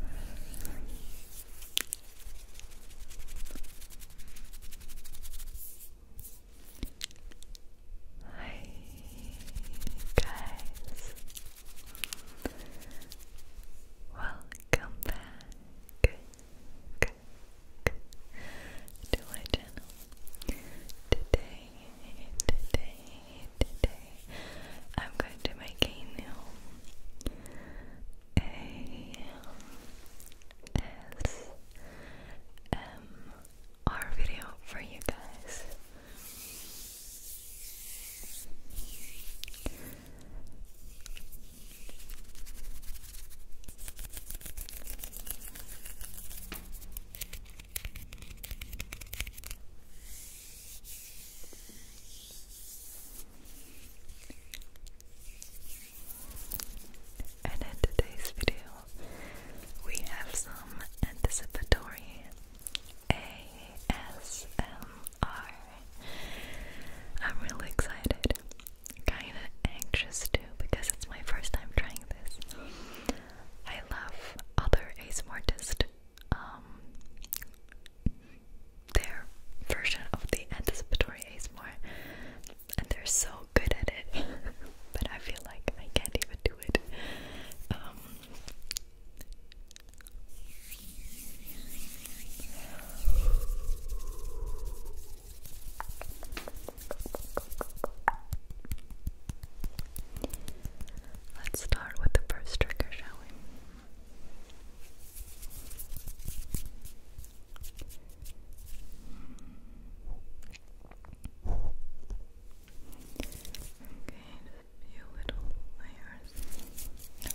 Hi guys, welcome back to my channel. Today, today, today I'm going to make a new video for you guys. And in today's video, we have some anticipatory ASMR. I'm really excited, kinda anxious too, because it's my first time trying this. I love other ASMR artists um, their version of the anticipatory ASMR, and they're so good at it. but I feel like I can't even do it. Um, let's start with the first trigger, shall we? just a few little layers. Okay.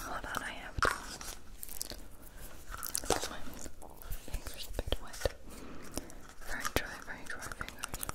Hold on, I have to. This one's fingers a bit wet. Very dry, very dry fingers.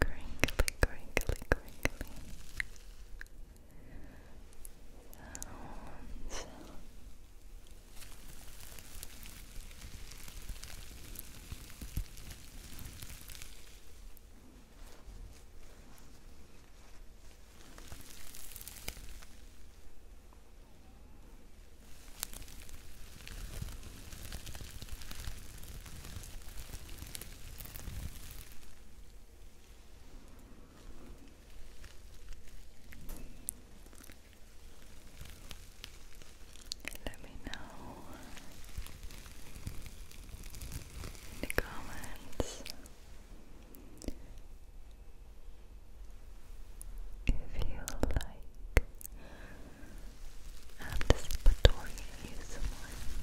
Crinkly, crinkly, crinkly. Sounds. Good. Let me know in the comments if you like anticipatory ASMR. Hello,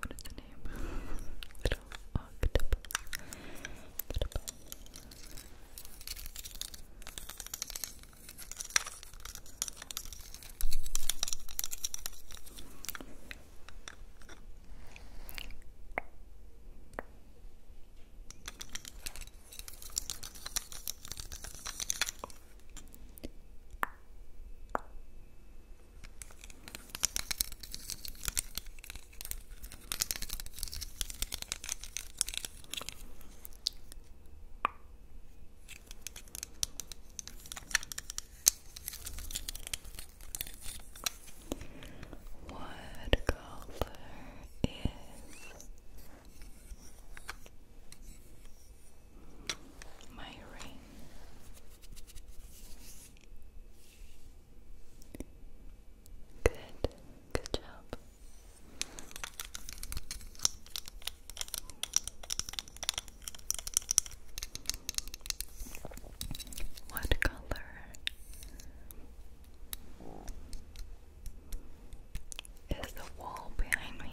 what is the name? Little octopus. What color is my ring? Good. Good job. What color? Is the wall behind me?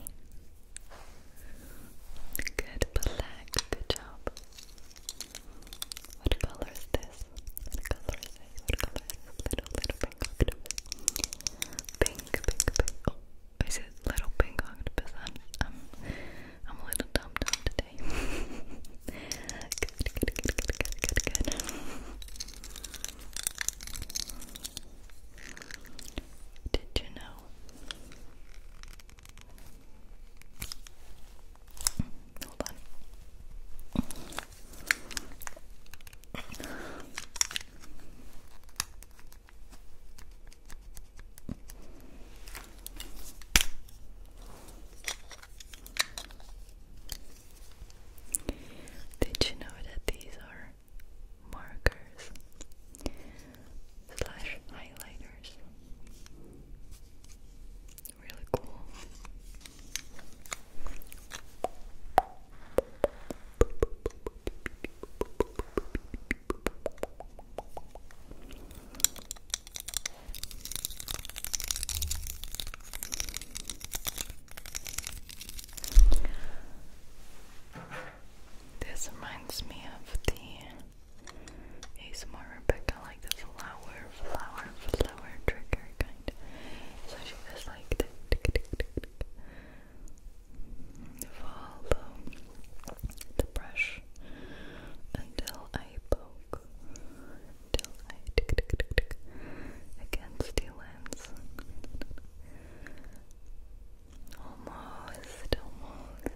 Good black, good job. What color is this? What color is this? What color is this? Little, little pink octopus. Pink, pink, pink. Oh, is it little pink I'm, a little dumb today. good, good, good, good, good, good. Did you know Hold Did you know that these are markers? slash highlighters. Really cool. This reminds me of the a ASMR Rebecca, like the flower, flower, flower trigger kind. So she was like, tick, follow the brush until I poke, until I against the lens. Almost, almost.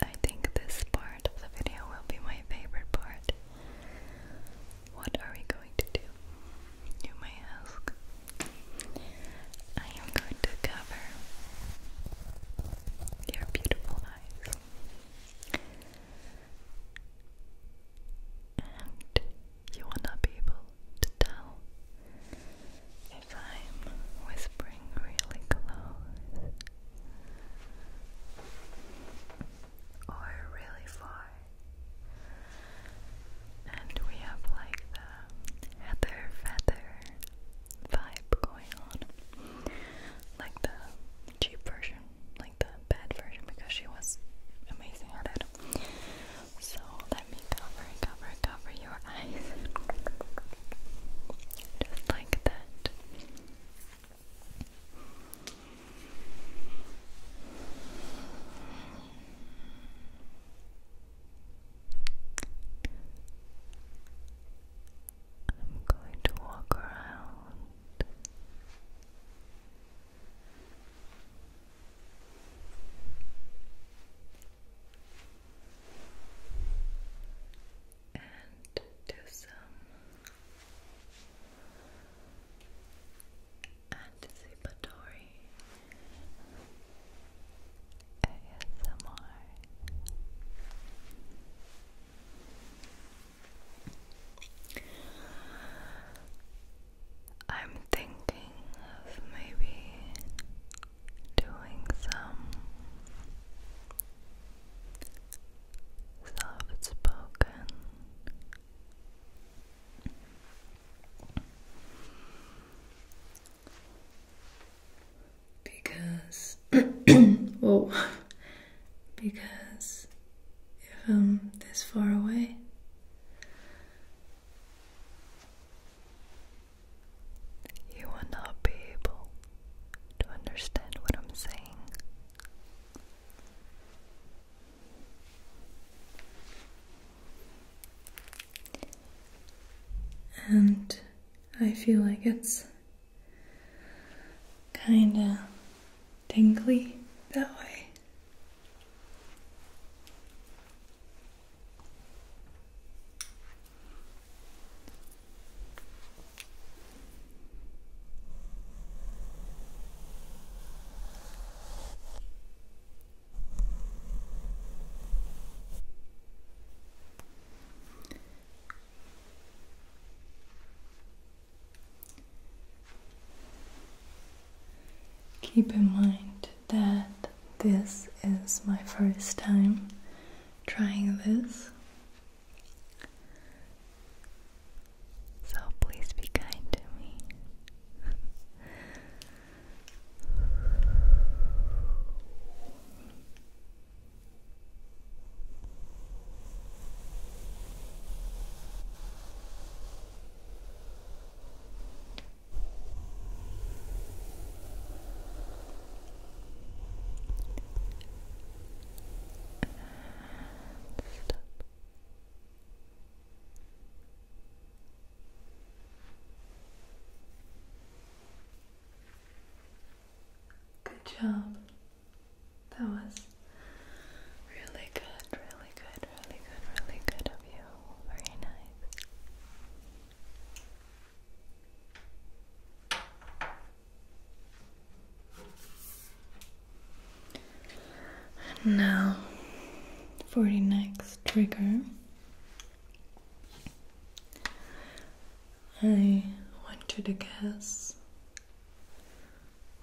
I think this part of the video will be my favorite part. What are we going to do? You may ask. I am going to cover your beautiful eyes and you will not be able to tell if I'm whispering really close or really far. And we have like the heather feather vibe going on. Like the cheap version, like the bad version because she was amazing at it. So let me cover, cover, cover your eyes. Just like that. I'm going to walk around and do some anticipatory ASMR. I'm thinking of maybe doing some soft spoken because whoa oh, because if I'm this far away you will not be able to understand what I'm saying. And I feel like it's kinda tingly that way. Keep in mind that this is my first time trying this. So please be kind to me. Good job. That was really good, really good, really good, really good of you. Very nice now for the next trigger, I want to guess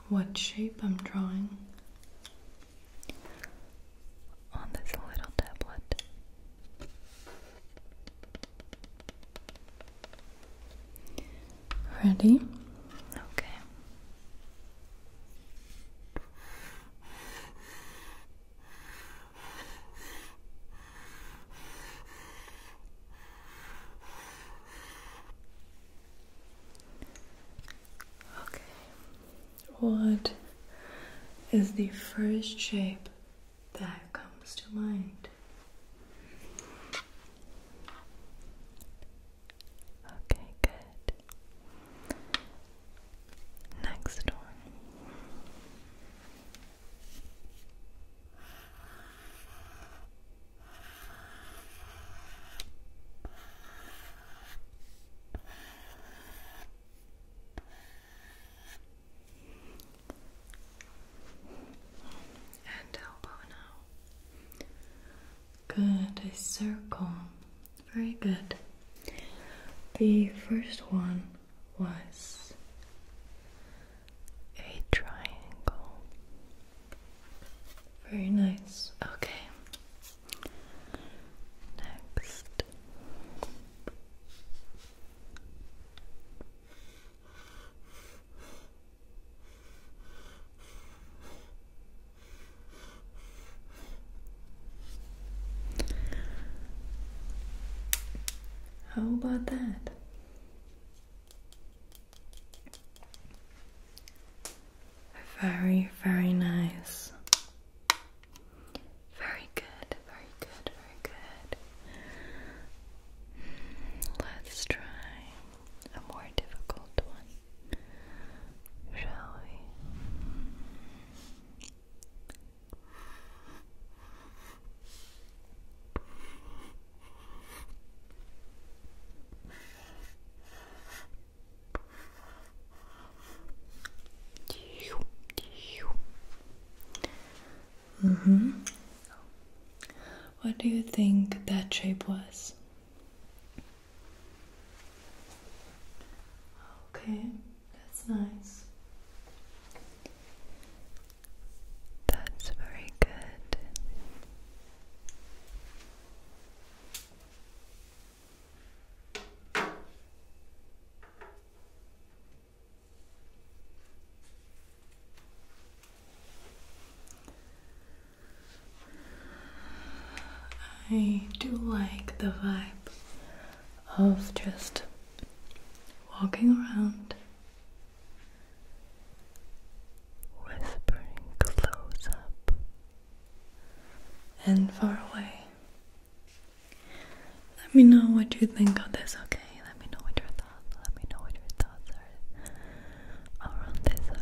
what shape I'm drawing on this little tablet. Ready? Okay. Okay. What is the first shape that comes to mind? Okay, good. Next one and elbow now. Good, a circle. Very good. The first one was a triangle. Very nice. Okay. Next. How about that? Very, very nice. Very good, very good, very good. Let's try a more difficult one, shall we? Mm hmm. What do you think that shape was? Okay, that's nice. That's very good. I do like the vibe of just walking around, whispering close up and far away. Let me know what you think of this, okay? Let me know what your thoughts. Let me know what your thoughts are around this, okay?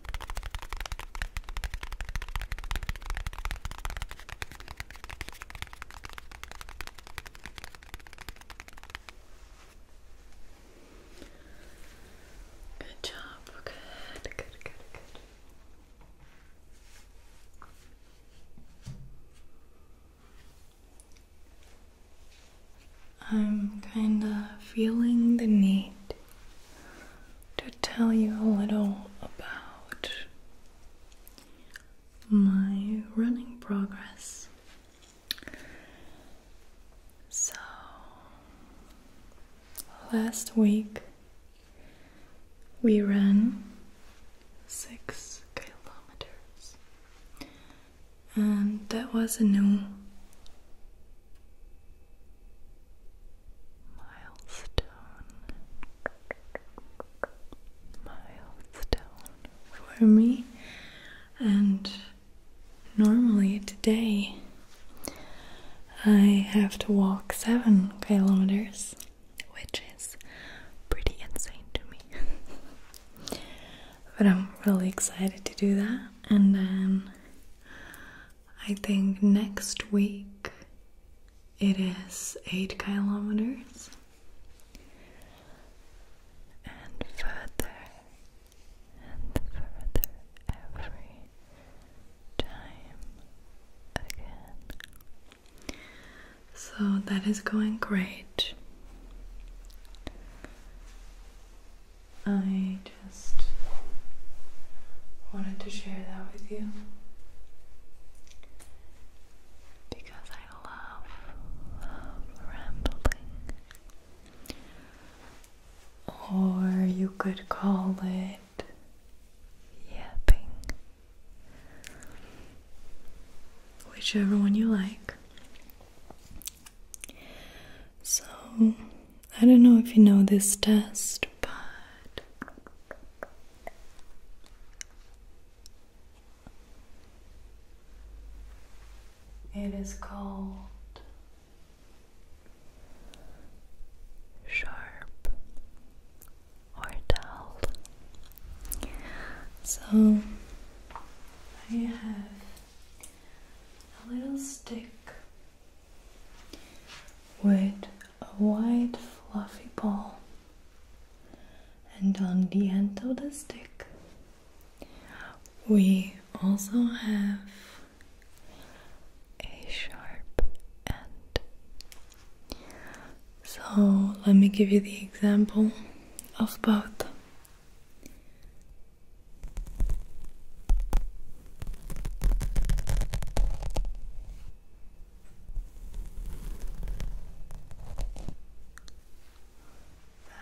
Good job. Good, good, good, good. I'm kind of feeling the need to tell you a little about my running progress. So, last week we ran six kilometers, and that was a new milestone milestone for me and normally today I have to walk seven kilometers which is pretty insane to me but I'm really excited to do that and then I think next week it is 8 kilometers and further and further every time again. So that is going great. I just wanted to share that with you because I love, love rambling. Or you could call it yapping. Whichever one you like. So, I don't know if you know this test, but it is called sharp or dull. So I have a little stick with a white fluffy ball, and on the end of the stick, we also have a sharp end. So, let me give you the example of both.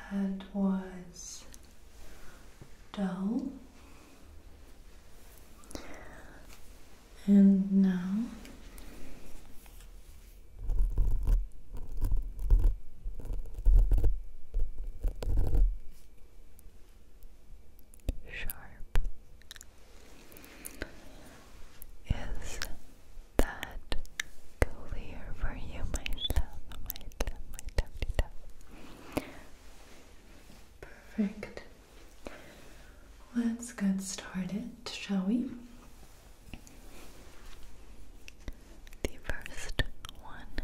That was dull, and now sharp is that clear for you myself my love my dumpty duff perfect let's get started shall we the first one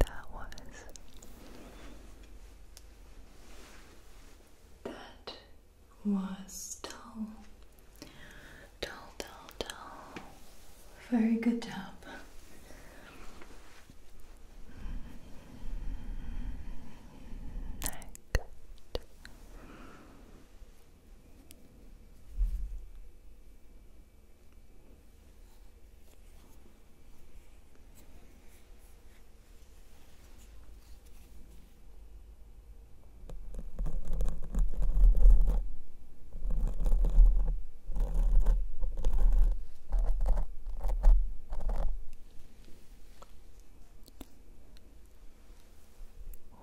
that was. That was dull. Dull, dull, dull. Very good job. Next.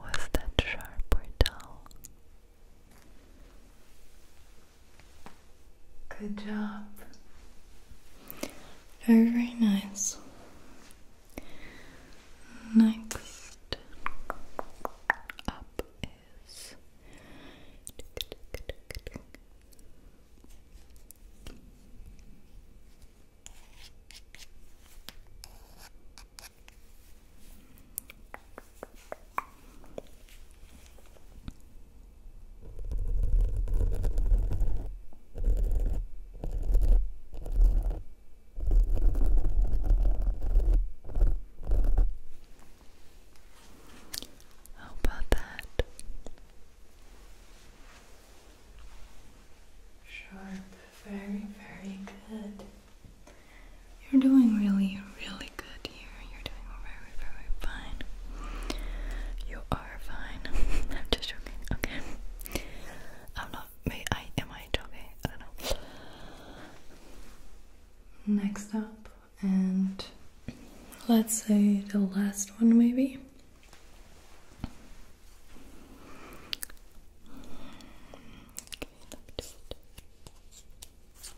Was that sharp or dull? Good job. Very, very nice. Next up is how about that? Sharp, very, very good. You're doing really, really good. You're doing very, very fine. You are fine. I'm just joking. Okay. I'm not. May I? Am I joking? I don't know. Next up, and let's say the last one, maybe.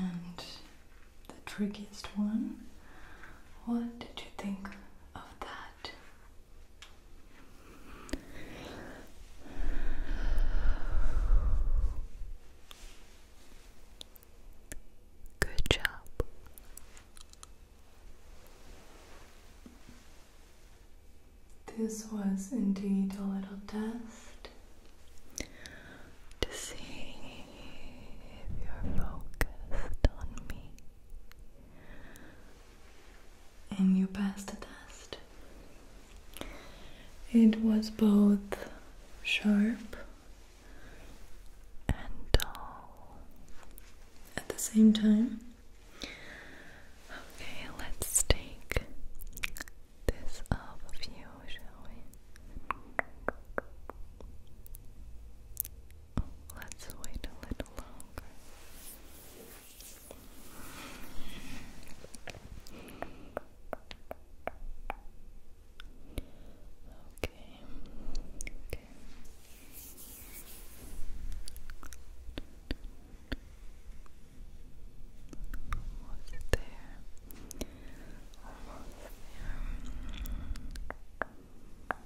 And the trickiest one. What did you think of that? Good job. This was indeed a little test to see if you're focused on me and you passed the test. It was both sharp and dull at the same time. Okay, let's take this off of you, shall we? Let's wait a little longer. Okay. Okay. Almost there. Almost there. Hello,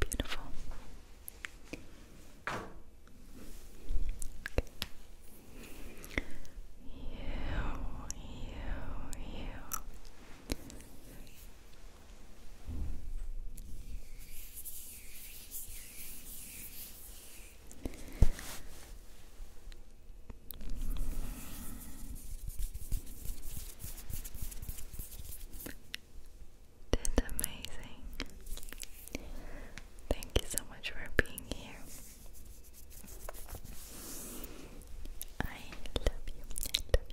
beautiful. You, you, you. Did amazing. Thank you so much for being here. I love you. I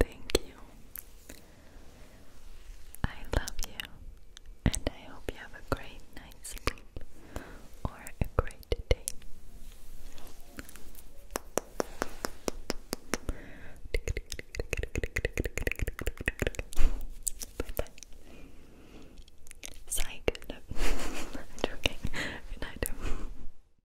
Thank you. I love you, and I hope you have a great night's sleep or a great day. Bye Psych. joking. Good